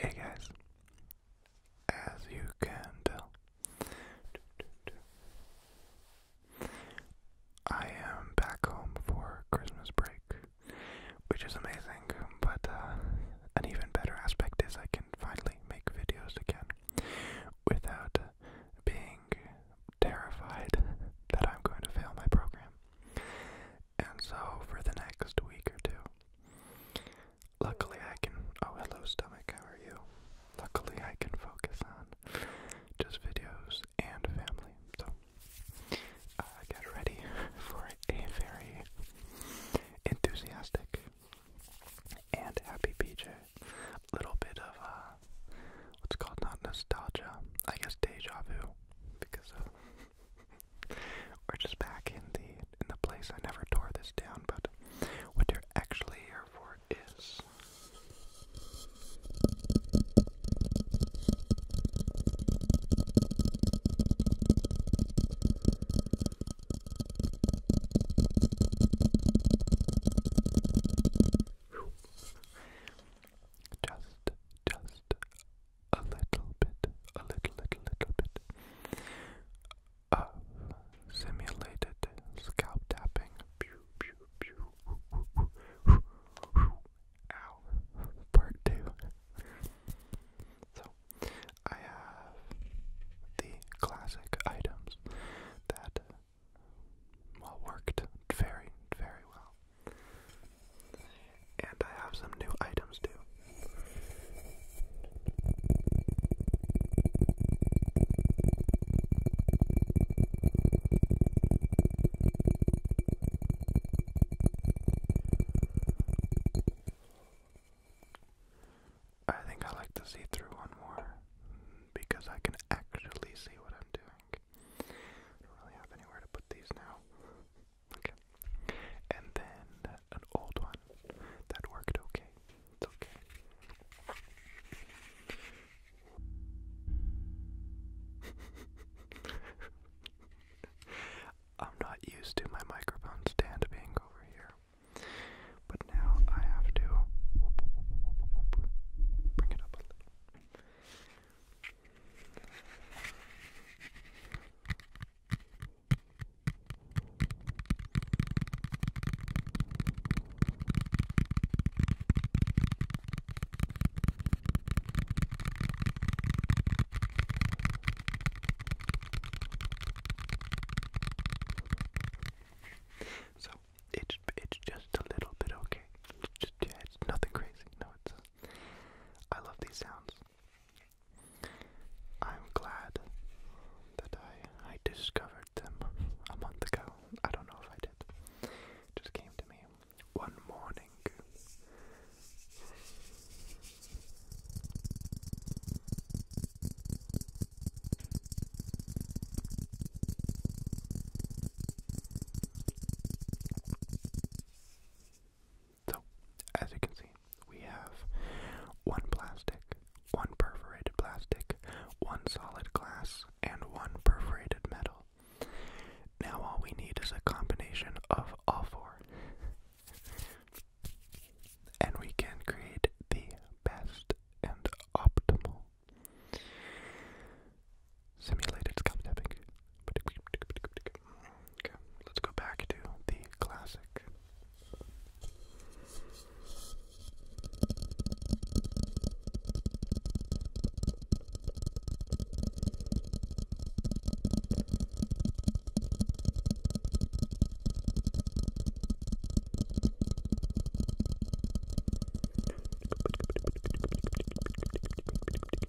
Hey guys, as you can tell, I am back home for Christmas break, which is amazing, but uh, an even better aspect is I can finally make videos again without being terrified that I'm going to fail my program. And so, for the next week or two, luckily I can. Oh, hello, stomach, how are you? Luckily, I can focus on just videos and family. So, uh, get ready for a very enthusiastic and happy PJ. Little bit of uh, what's called not nostalgia, I guess deja vu because of we're just back in the in the place. I never tore this down, but what you're actually here for is just, just a little bit, a little, little, little bit of simulated scalp tapping. Pew, pew, pew. Ow. Part two. So, I have the classic items that uh, well worked very, very well. And I have some new items too. I think I like the see through one more because I can actually see what I'm doing. I don't really have anywhere to put these now. okay. And then an old one that worked okay. It's okay. I'm not used to my microphone stand being over here. But now I have to bring it up a little. So it's it's just a little bit okay. It's nothing crazy. No, it's. I love these sounds. I'm glad that I I discovered them a month ago. I don't know if I did. just came to me one morning. So, as you can see, we have one plastic, one perforated plastic, one solid glass, and one perforated metal. Now all we need is a combination of all four. and we can create the best and optimal simulated scalp tapping. Okay, let's go back to the classic.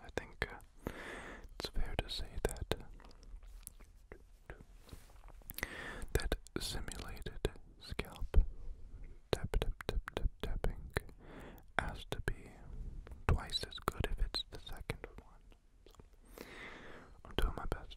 I think uh, it's fair to say that that simulated scalp tap tap tap tap tapping has to be twice as good if it's the second one. I'm doing my best.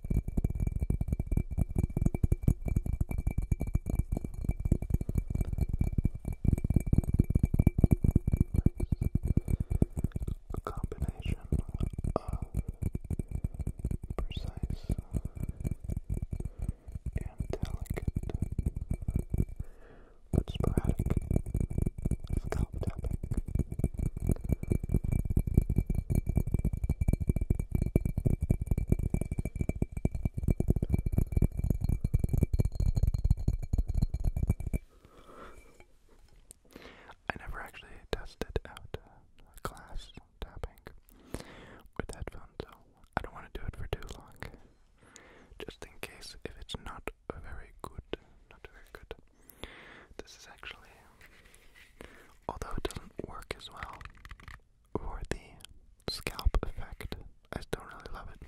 A combination of precise and delicate but sporadic scalp tapping. I never actually tested out class uh, tapping with headphones, so I don't want to do it for too long. Just in case, if it's not very good, not very good. This is actually, although it doesn't work as well, for the scalp effect. I don't really love it.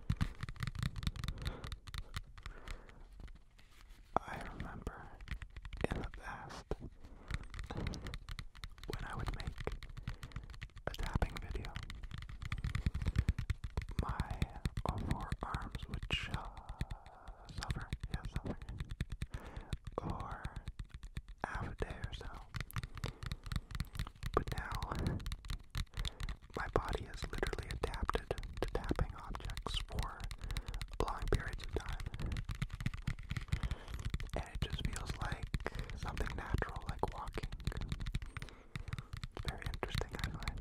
I remember in the past when I would make a tapping video, my all would suffer, yeah, suffer, or have a day or so. But now my body is literally adapted to tapping objects for long periods of time. And it just feels like something natural, like walking. very interesting, I find.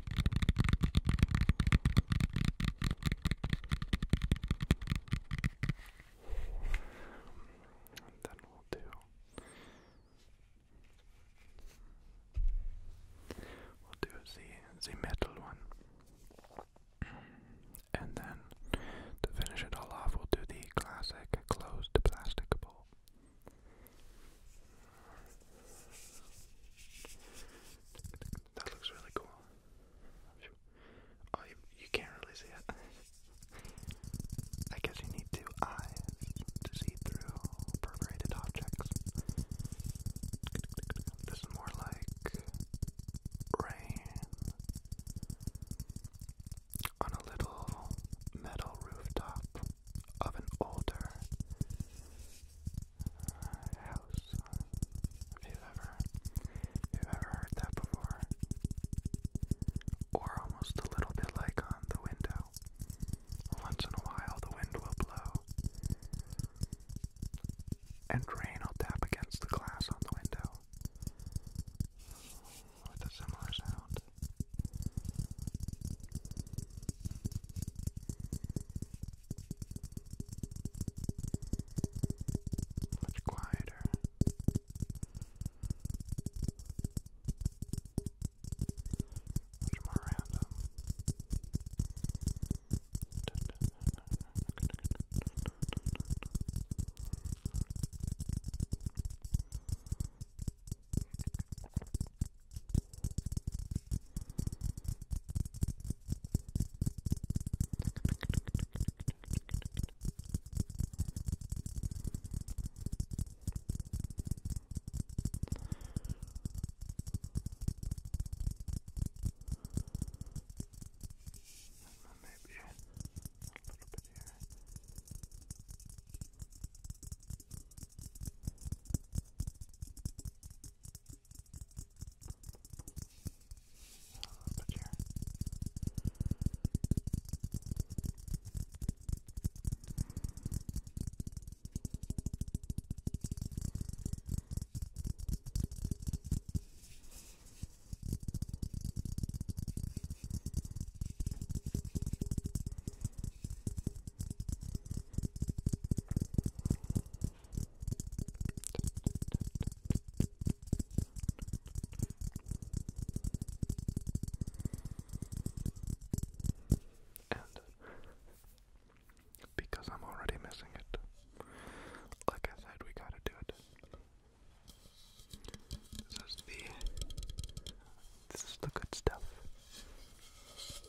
then we'll do. We'll do the the metal one, and then to finish it all off, we'll do the classic closed plastic bowl. That looks really cool. Oh, you, you can't really see it. I guess you need two eyes to see through perforated objects. This is more like rain on a little metal rooftop of an older house. If you ever, if you ever heard that before, or almost a little bit like on the window. Once in a while, the wind will blow, and rain will tap against the glass on the window with a similar sound much quieter. Much more random. Maybe a little bit here. Good. But yeah. All and because I'm already missing it, like I said, we gotta do it. This is the this is the good stuff.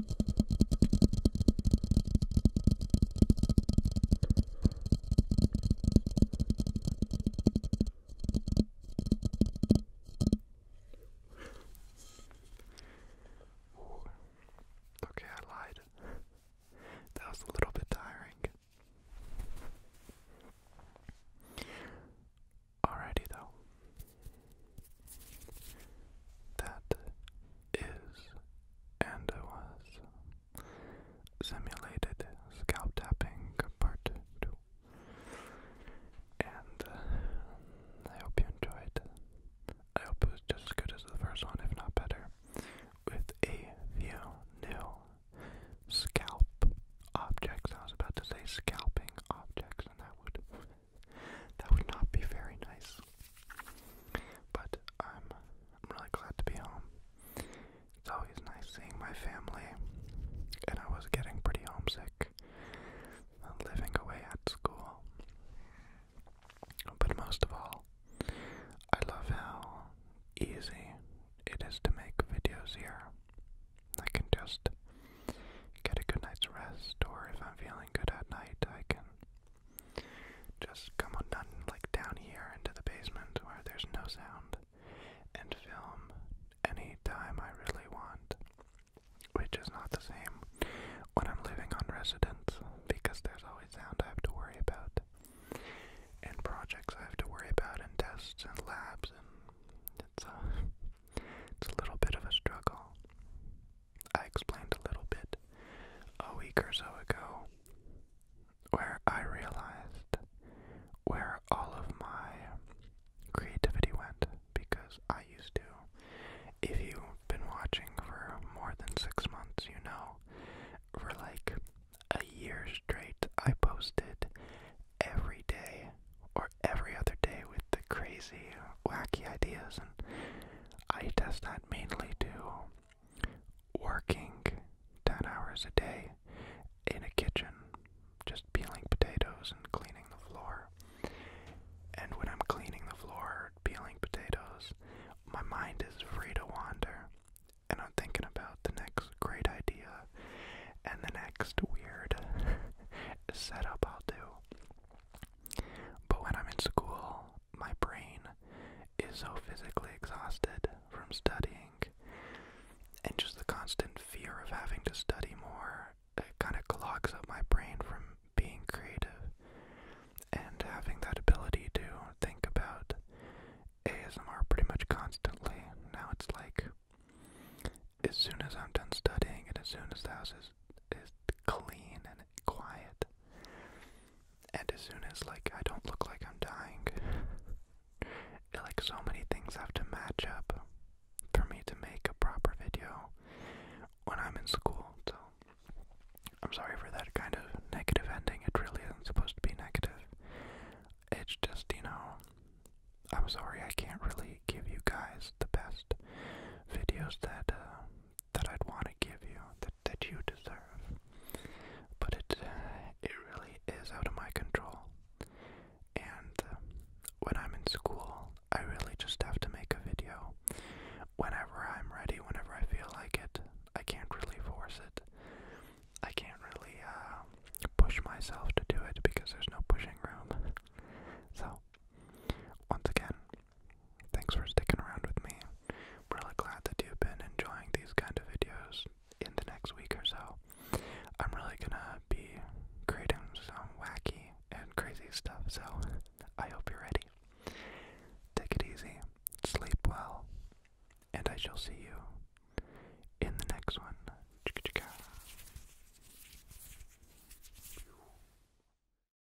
Okay, I lied. that was a little bit tiring. Alrighty though that is and was simulated scalp tapping part 2. And uh, I hope you enjoyed. I hope it was just as good as the first one, if not better, with a few new scalp objects. I was about to say scalping objects, and that would that would not be very nice. But um, I'm, really glad to be home. It's always nice seeing my family, and I was getting pretty homesick uh, living away at school. But most of all, I love how easy it is to make videos here. I can just get a good night's rest, or if I'm feeling good at night, I can just come on down, like down here into the basement where there's no sound, and film any time I really want. Which is not the same when I'm living on residence because there's always sound I have to worry about, and projects I have to worry about, and tests and labs, and it's a it's a little bit of a struggle. I explained a little bit a week or so ago where I realized where all of my creativity went because I used to. If you've been watching for more than six months, you know, for like a year straight, I posted every day or every other day with the crazy, wacky ideas and I does not mainly do working 10 hours a day in a kitchen, just peeling potatoes and cleaning the floor. And when I'm cleaning the floor, peeling potatoes, my mind is free to wander. And I'm thinking about the next great idea and the next weird setup I'll do. But when I'm in school, my brain is so physically exhausted from studying, and just the constant fear of having to study more, it kind of clogs up my brain from being creative. And having that ability to think about ASMR pretty much constantly, now it's like as soon as I'm done studying and as soon as the house is, is clean and quiet. And as soon as like I don't look like I'm dying, like so many things have to match up for me to make a proper video when I'm in school. So I'm sorry for that kind of negative ending. It really isn't supposed to be negative. It's just, you know, I'm sorry I can't really give you guys the best videos that uh, that I'd want to give you, that, that you deserve. But it, uh, it really is out of my control. And uh, when I'm in school, I really just have to make a video whenever I'm ready, whenever I feel like it. I can't really force it. I can't really uh, push myself to do it because there's no pushing room. so, once again, Thanks for sticking around with me. I'm really glad that you've been enjoying these kind of videos in the next week or so. I'm really gonna be creating some wacky and crazy stuff, so I hope you're ready. Take it easy, sleep well, and I shall see you in the next one. Chicka